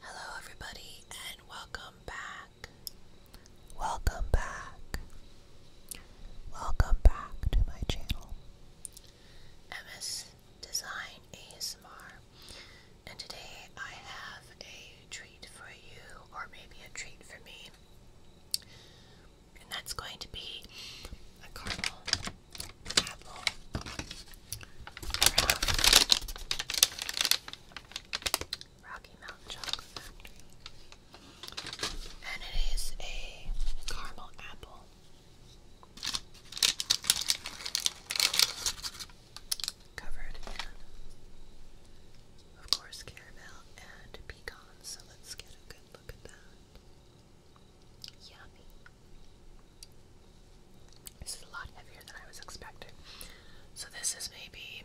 Hello, everybody, and welcome back. Welcome back. Welcome back to my channel, MS Design ASMR. And today I have a treat for you, or maybe a treat for me, and that's going to be a caramel apple from Rocky Mountain Chocolate and it is a caramel apple. Covered in, of course, caramel and pecans. So let's get a good look at that. Yummy. This is a lot heavier than I was expecting. So this is maybe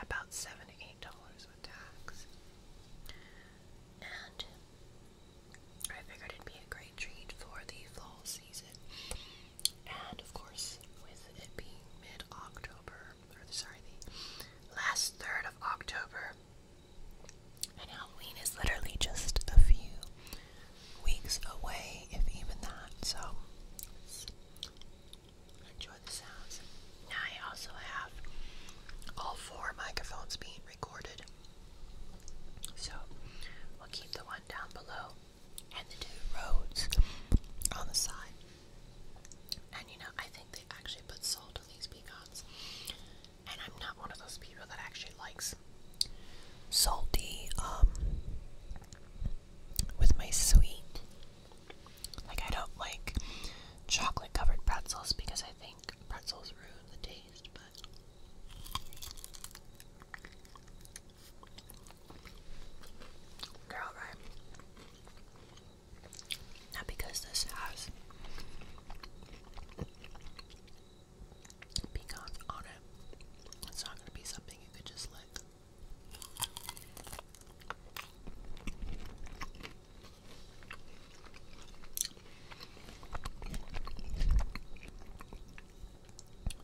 about seventy-eight dollars with tax. And I figured it'd be a great treat for the fall season. And of course, with it being mid-October, or sorry, the last third of October, and Halloween is literally just a few weeks away, if even that. So enjoy the sounds. Now I also have all four microphones being recorded. So we'll keep the one down below and the two roads on the side. And you know, I think they actually put salt on these pecans. And I'm not one of those people that actually likes salty um, with my sweet. Like I don't like chocolate covered pretzels because I think pretzels ruin the taste, but. Girl, right? Not because this has pecan on it. It's not going to be something you could just lick.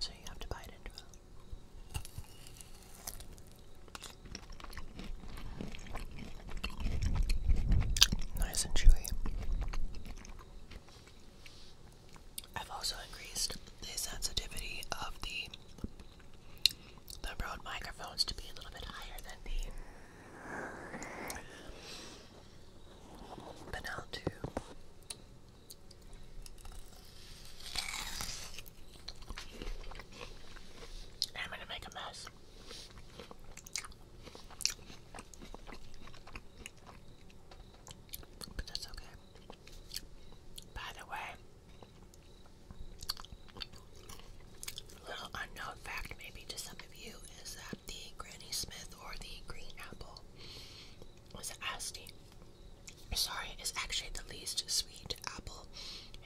So you have to bite into it. Nice and chewy. I've also increased the sensitivity of the the Rode microphones to be a little bit higher than the Benel two. I'm gonna make a mess. But that's okay. By the way, little unknown fact maybe to some of you is that the Granny Smith or the green apple is asti sorry, is actually the least sweet apple.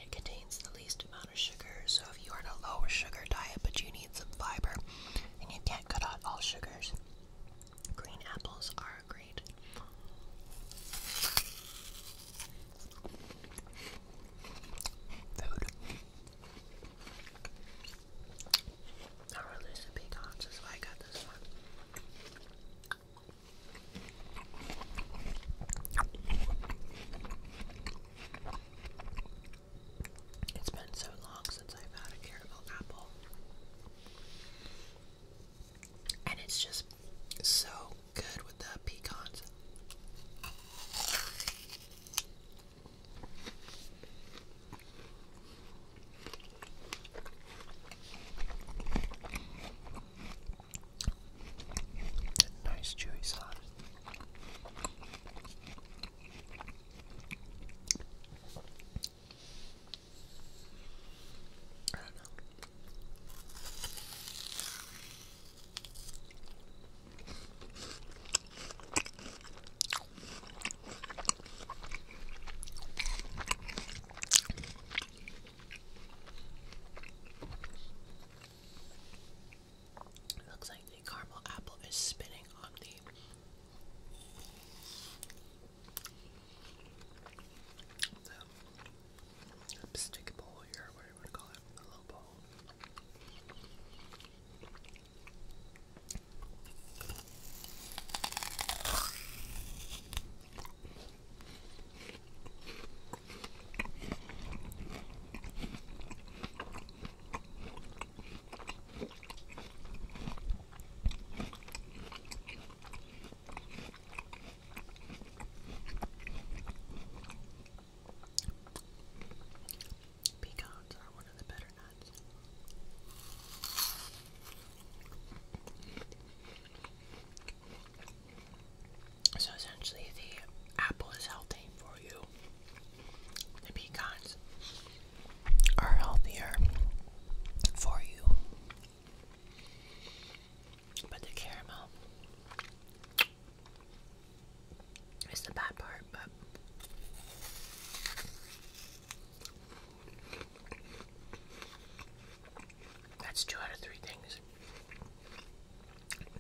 It contains the least amount of sugar, so if you are on a lower sugar diet but you need some fiber and you can't cut out all sugars, Green apples are great. Food. I released the pecans, that's I got this one. It's been so long since I've had a caramel apple. And it's just so good with the pecans. Nice chewy sauce. I don't know. It looks like the caramel apple is spinning on the stick a pole here, What do you call it, a little bowl. Pecans are one of the better nuts. So essentially, the apple is healthy for you. The pecans are healthier for you. But the caramel is the bad part, but that's two out of three things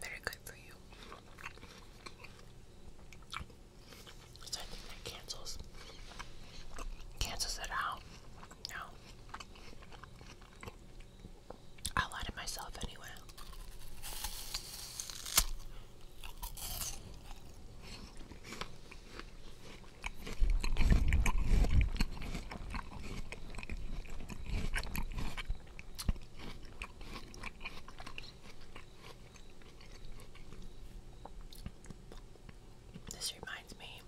that good for you cancels cancels it out. No. I lie to myself anyway. This reminds me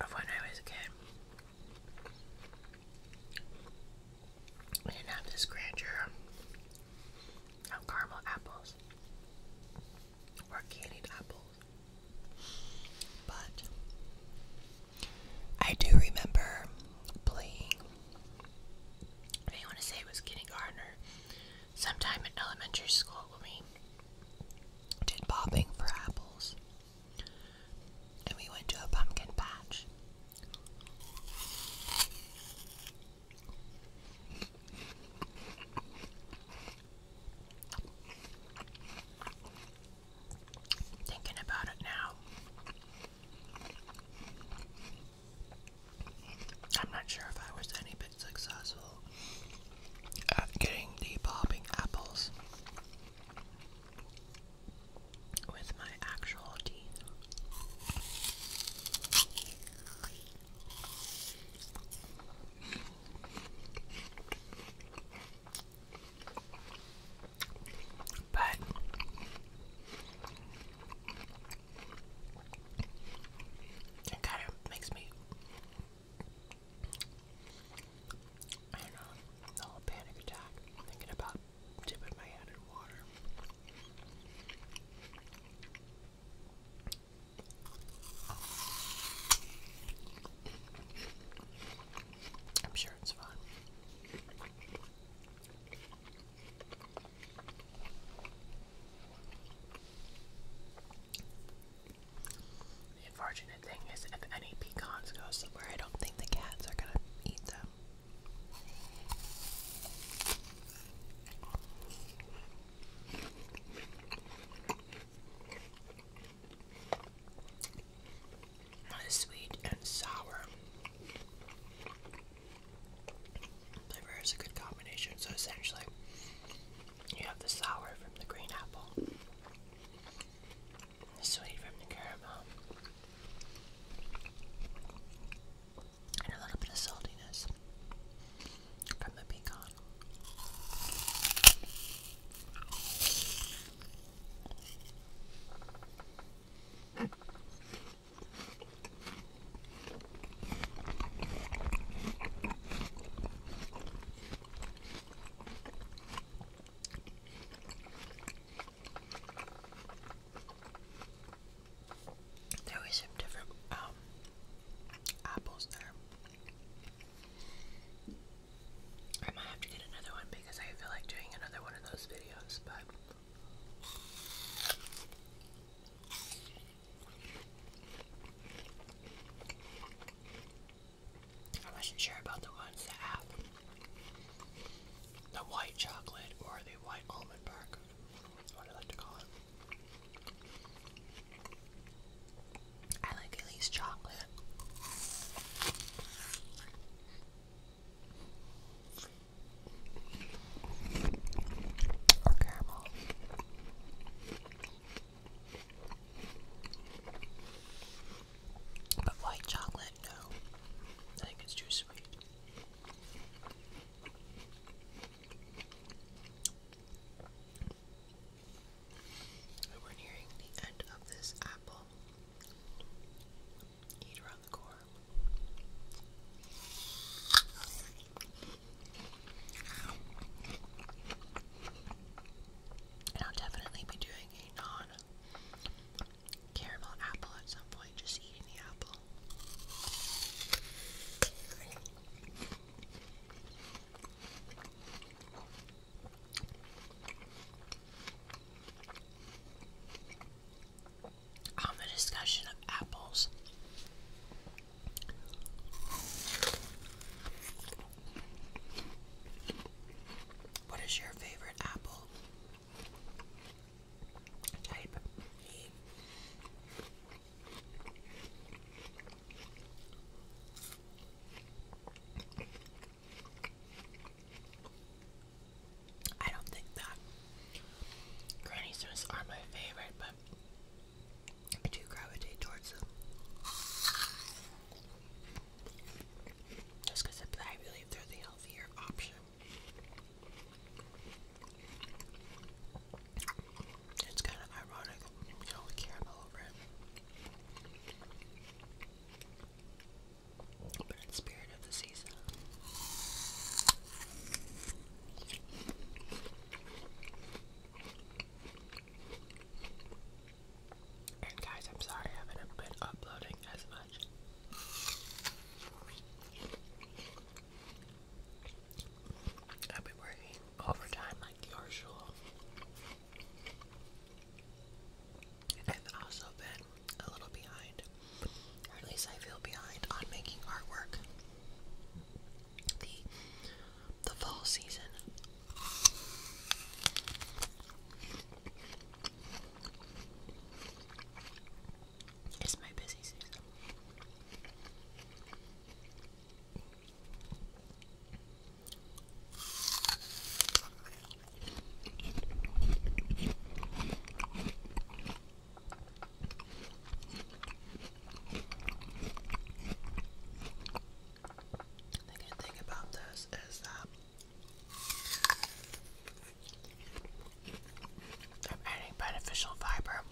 of when I was a kid. We didn't have this grandeur of caramel apples or candied apples, but I do remember playing, I want to say it was kindergarten or sometime in elementary school we did bobbing for apples. And we went to a pumpkin patch. Thinking about it now. I'm not sure if I was any bit successful at getting the bobbing apples with my actual teeth. But it kind of makes me, I don't know, a little panic attack thinking about dipping my head in water. I'm sure it's fine. The unfortunate thing is, if any pecans go somewhere, I don't think the cats are gonna eat them sweet and sour. Flavor a good combination, so essentially, you have the sour from the green apple, the sweet from the caramel, and a little bit of saltiness from the pecan. There were different um, apples there. I might have to get another one because I feel like doing another one of those videos, but I wasn't sure about the ones that have the white chocolate or the white almond bark. what I like to call it. I like at least chocolate or But white chocolate, no. I think it's too sweet. We're nearing the end of this apple. Eat around the core. And I'll definitely be doing a non caramel apple at some point, just eating the apple on the discussion of apples. What is your favorite apple type? I don't think that granny are my favorite, but I do gravitate towards them. Just because I believe they're the healthier option. It's kind of ironic, you know, the caramel over it. Bird spirit of the season. And guys, I'm sorry I haven't been uploading as much. I've been working overtime like usual. I've also been a little behind, or at least I feel behind on making artwork. The the fall season. It's my busy season. The good thing about this is that I'm adding beneficial fiber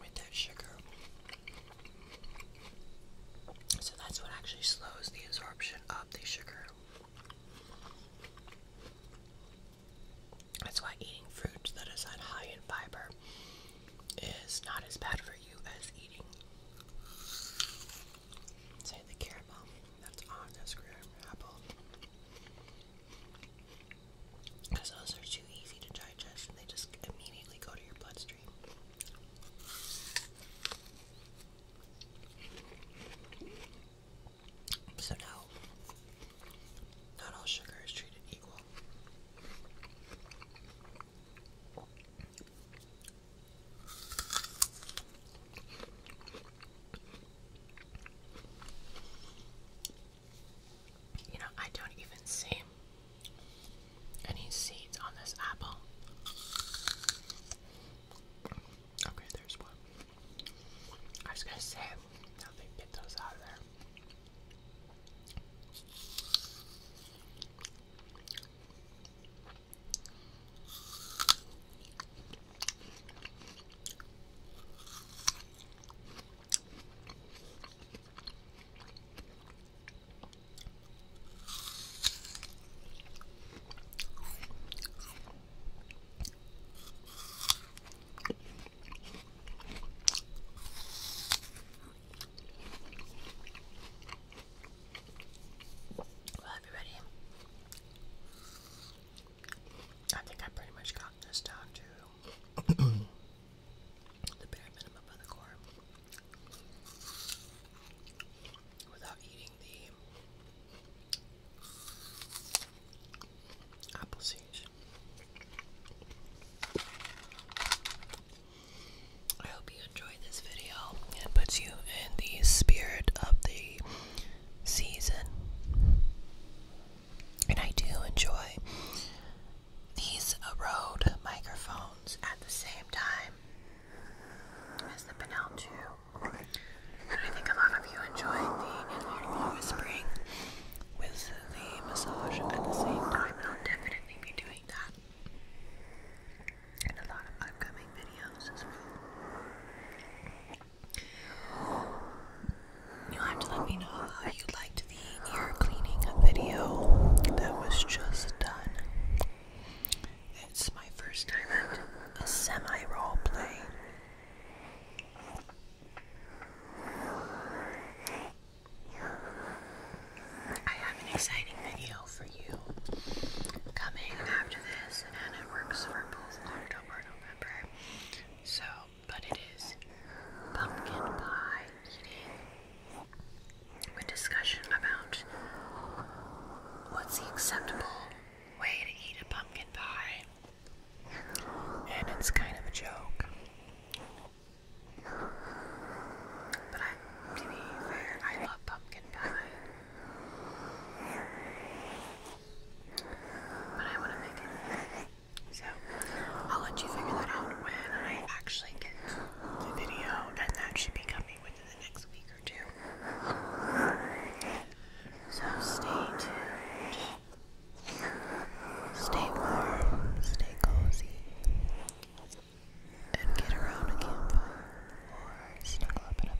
with that sugar. So that's what actually slows the absorption of the sugar. That's why eating fruit that is not high in fiber is not as bad for you as eating, say, the caramel that's on this graham apple. Because those are too easy to digest they just immediately go to your bloodstream. So now, not all sugar is treated equal. You know, I don't even see any seeds on this apple? Okay, there's one. I was gonna say, now they get those out of there. Well, everybody, I think I pretty much got this down to the bare minimum of the core without eating the apple seeds. I hope you enjoyed this video and puts you in the spirit of the season. And I do enjoy these Rode microphones at the same time is the Benel 2. I think a lot of you enjoy the whispering with the massage at the same time, and I'll definitely be doing that in a lot of upcoming videos as well. you have to let me know how you liked the ear cleaning video that was just done. It's my first time at a semi role play. I have an exciting video for you coming after this, and it works for both October and November. So, but it is pumpkin pie eating a discussion about what's the acceptable way to eat a pumpkin pie. And it's kind of a joke. But to be fair, I love pumpkin pie. But I want to make it. So, I'll let you figure that out when I actually get the video, and that should become within the next week or two. So stay tuned. Stay warm, stay cozy, and get around a campfire or snuggle up in a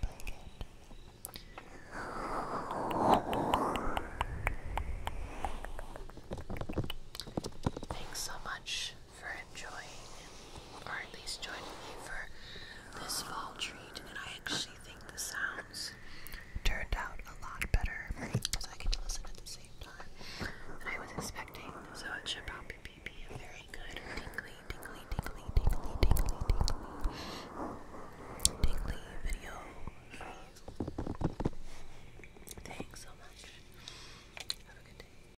blanket. Thanks so much for enjoying, or at least joining me for this fall treat. And I actually think the sounds turned out a lot better because I could listen at the same time that I was expecting. So it should probably be a very good tingly, tingly, tingly, tingly, tingly, tingly, tingly video for you. Thanks so much. Have a good day.